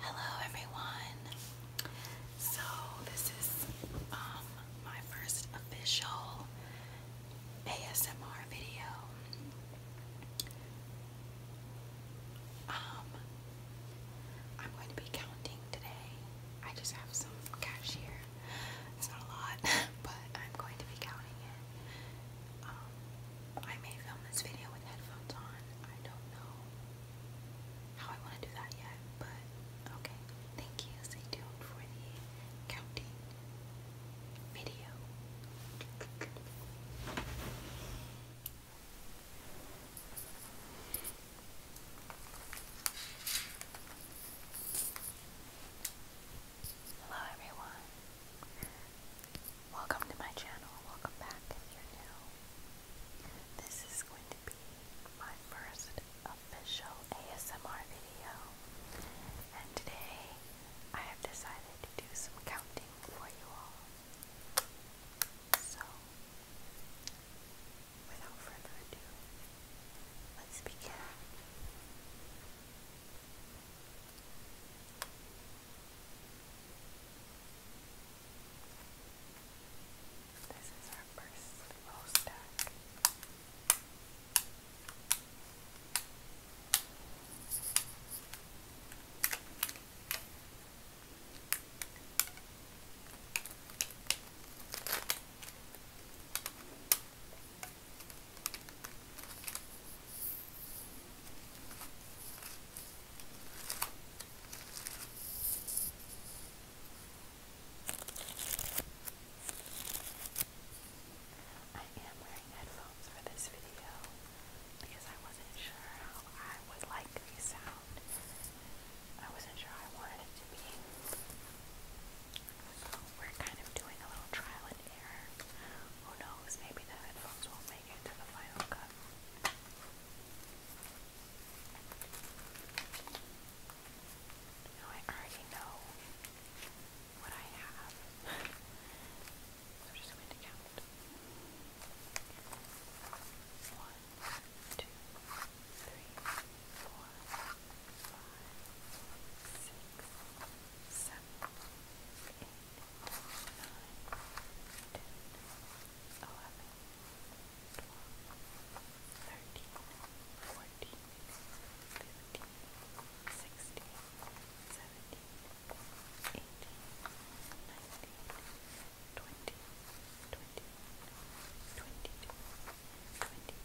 Hello everyone. So this is um, my first official ASMR video. Um, I'm going to be counting today. I just have some cash here. It's not a lot, but I'm going to be counting it. Um, I may film this video with headphones on. I don't know how I want to do that yet, but okay. Thank you. Stay tuned for the counting video. Hello everyone. Welcome to my channel. Welcome back This is going to be my first official ASMR video. And today I have decided to do some counting for you all. So, without further ado, let's begin. This is our first row stack. This I am wearing headphones for this video because I wasn't sure how I would like the sound. I wasn't sure I wanted it to be. So we're kind of doing a little trial and error. Who knows, maybe the headphones won't make it to the final cut. Now I already know what I have. so I'm just going to count. One, two, three, four, five, six, seven, eight, nine, ten, eleven, twelve, thirteen, fourteen, fifteen, sixteen, seventeen, eighteen, nineteen, twenty, twenty, twenty-two, twenty-three, twenty-four,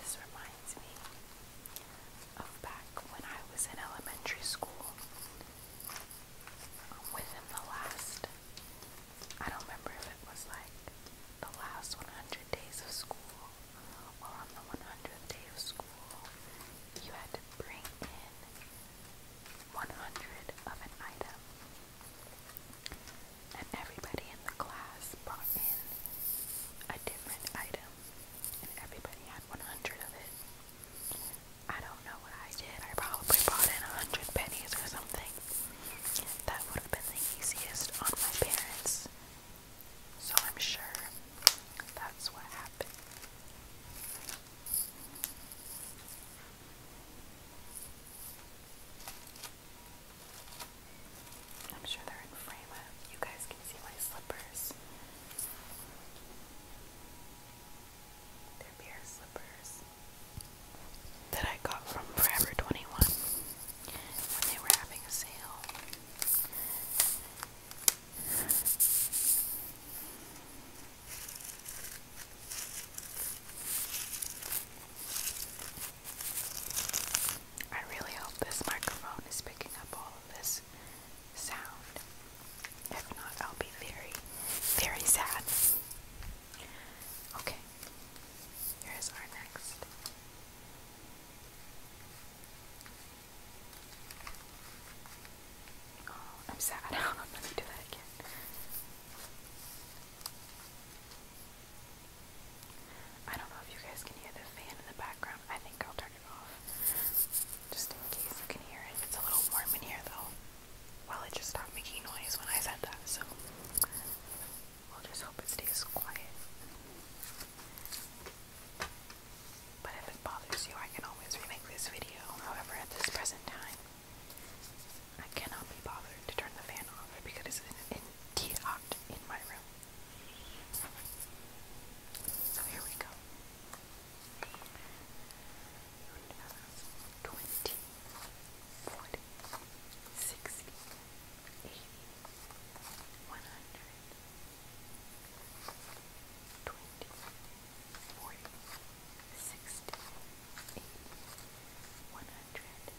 This reminds me of back when I was in elementary school. Within the last, I don't remember if it was like the last 100 days of school or on the 100th day of school, you had to bring in 100 of an item. And everybody in the class brought in a different item, and everybody had 100 of it. I don't know what I did. I probably brought in 100 pennies or something. That would have been the easiest on my parents. So I'm sure that's what happened. I'm sure they're in frame. You guys can see my slippers. They're beer slippers that I got from Forever 21 when they were having a sale. I really hope this microphone is picking up all of this sound. If not, I'll be very, very sad. Okay, here's our next. Oh, I'm sad. I'm not gonna do that again. I don't know if you guys can hear the fan in the background. I think I'll turn it off. Just in case you can hear it. It's a little warm in here though. Well, it just stopped making noise when I said that, so we'll just hope it stays quiet. But if it bothers you, I can always remake this video. However, at this present time, I cannot be bothered to turn the fan off because it's indeed hot in my room. So here we go. Twenty, forty, sixty, eighty, one hundred, twenty, forty, sixty, eighty, one hundred.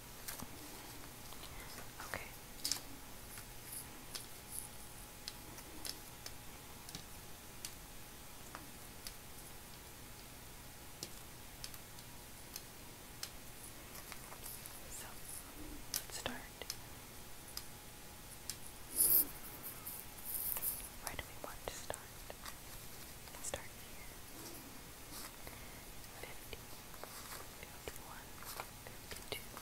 Okay. So, let's start. Where do we want to start? start here. 50,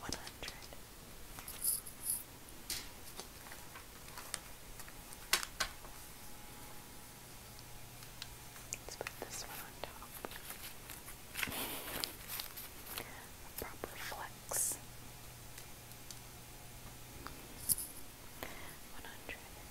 one hundred. Let's put this one on top. A proper flex. One hundred.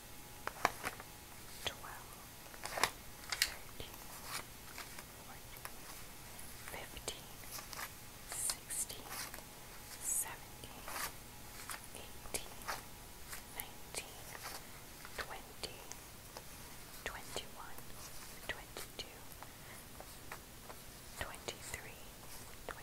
12, 13, 14, 15, 16, 17, 18, 19, 20, 21, 22, 23, 24,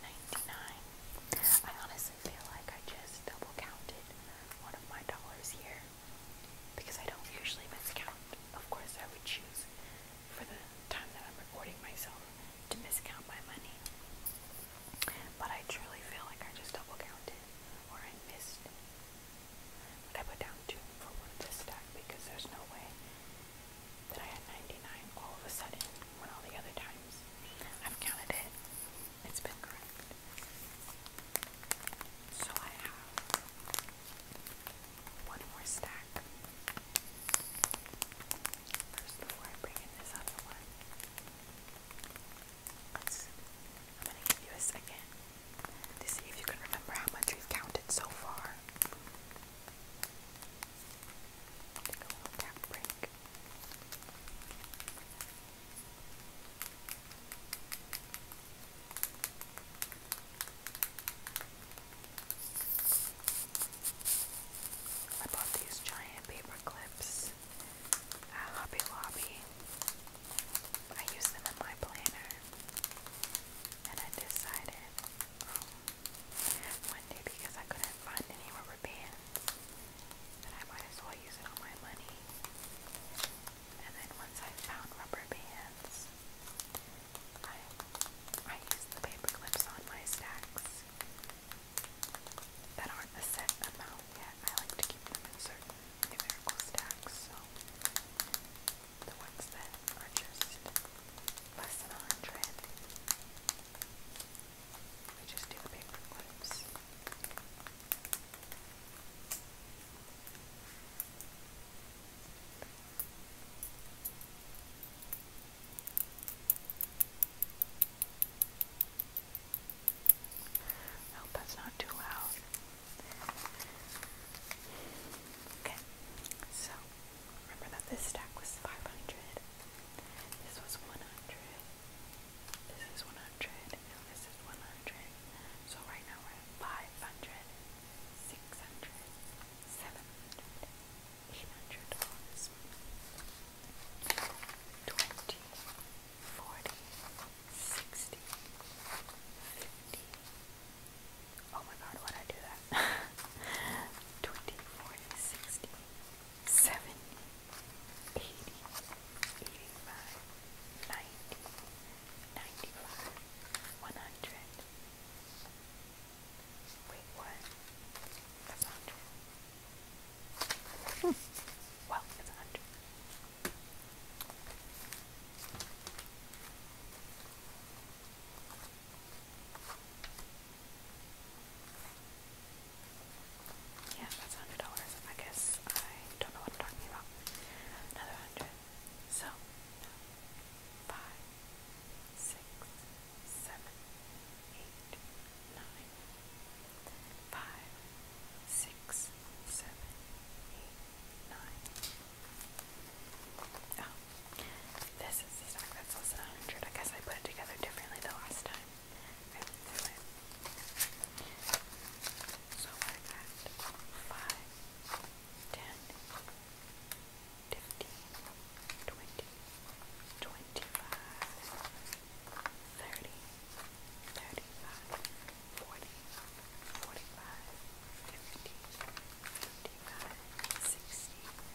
ninety-nine. I honestly feel like I just double counted one of my dollars here because I don't usually miscount. Of course, I would choose for the time that I'm recording myself to miscount my money, but I truly feel like I just double counted or I missed. But I put down two for one of this stack because there's no way that I had 99 all of a sudden when all the other times I've counted it, it's been correct. So I have one more stack. First, before I bring in this other one, I'm going to give you a second to see if you can remember how much you have counted so far. I bought these giant paper clips at Hobby Lobby. I use them in my planner, and I decided um, one day because I couldn't find any rubber bands. I might as well use it on my money. And then once I found rubber bands, I I used the paper clips on my stacks that aren't a set amount yet. I like to keep them in certain numerical stacks, so the ones that are just less than a hundred I just do paper clips. I that's not too loud. Okay, so remember that this stack was 500. This was 100. This is 100. And this is 100. So right now we're at 500, 600, 700, 800 dollars. 20, 40, 60, 50. Oh my god, why'd I do that? 20, 40, 60, 50, seventy, eighty, eighty-five, ninety, ninety-five, one hundred. Hmm. Well, hundred. Yeah, that's hundred dollars. I guess I don't know what I'm talking about. Another hundred. So five, six, seven, eight, nine. Five, six, seven, eight, nine. Oh, this is the stock that's less than 100. I guess I put it together differently the last time. I So I got 5, 20, 25, 30, 35, 40, 45, 50, 60,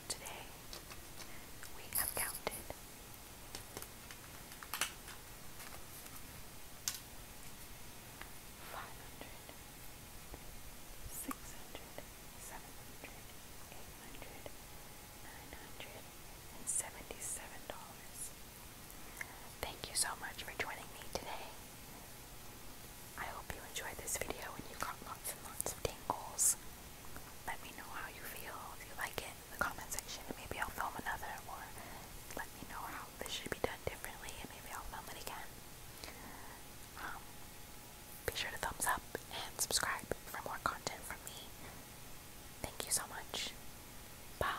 So today we have counted five hundred, six hundred, seven hundred, eight hundred, nine hundred, and seventy seven dollars. Thank you so much for joining me today. I hope you enjoyed this video and you got lots and lots of tingles let me know how you feel, if you like it in the comment section, maybe I'll film another, or let me know how this should be done differently, and maybe I'll film it again. Um, be sure to thumbs up and subscribe for more content from me. Thank you so much. Bye.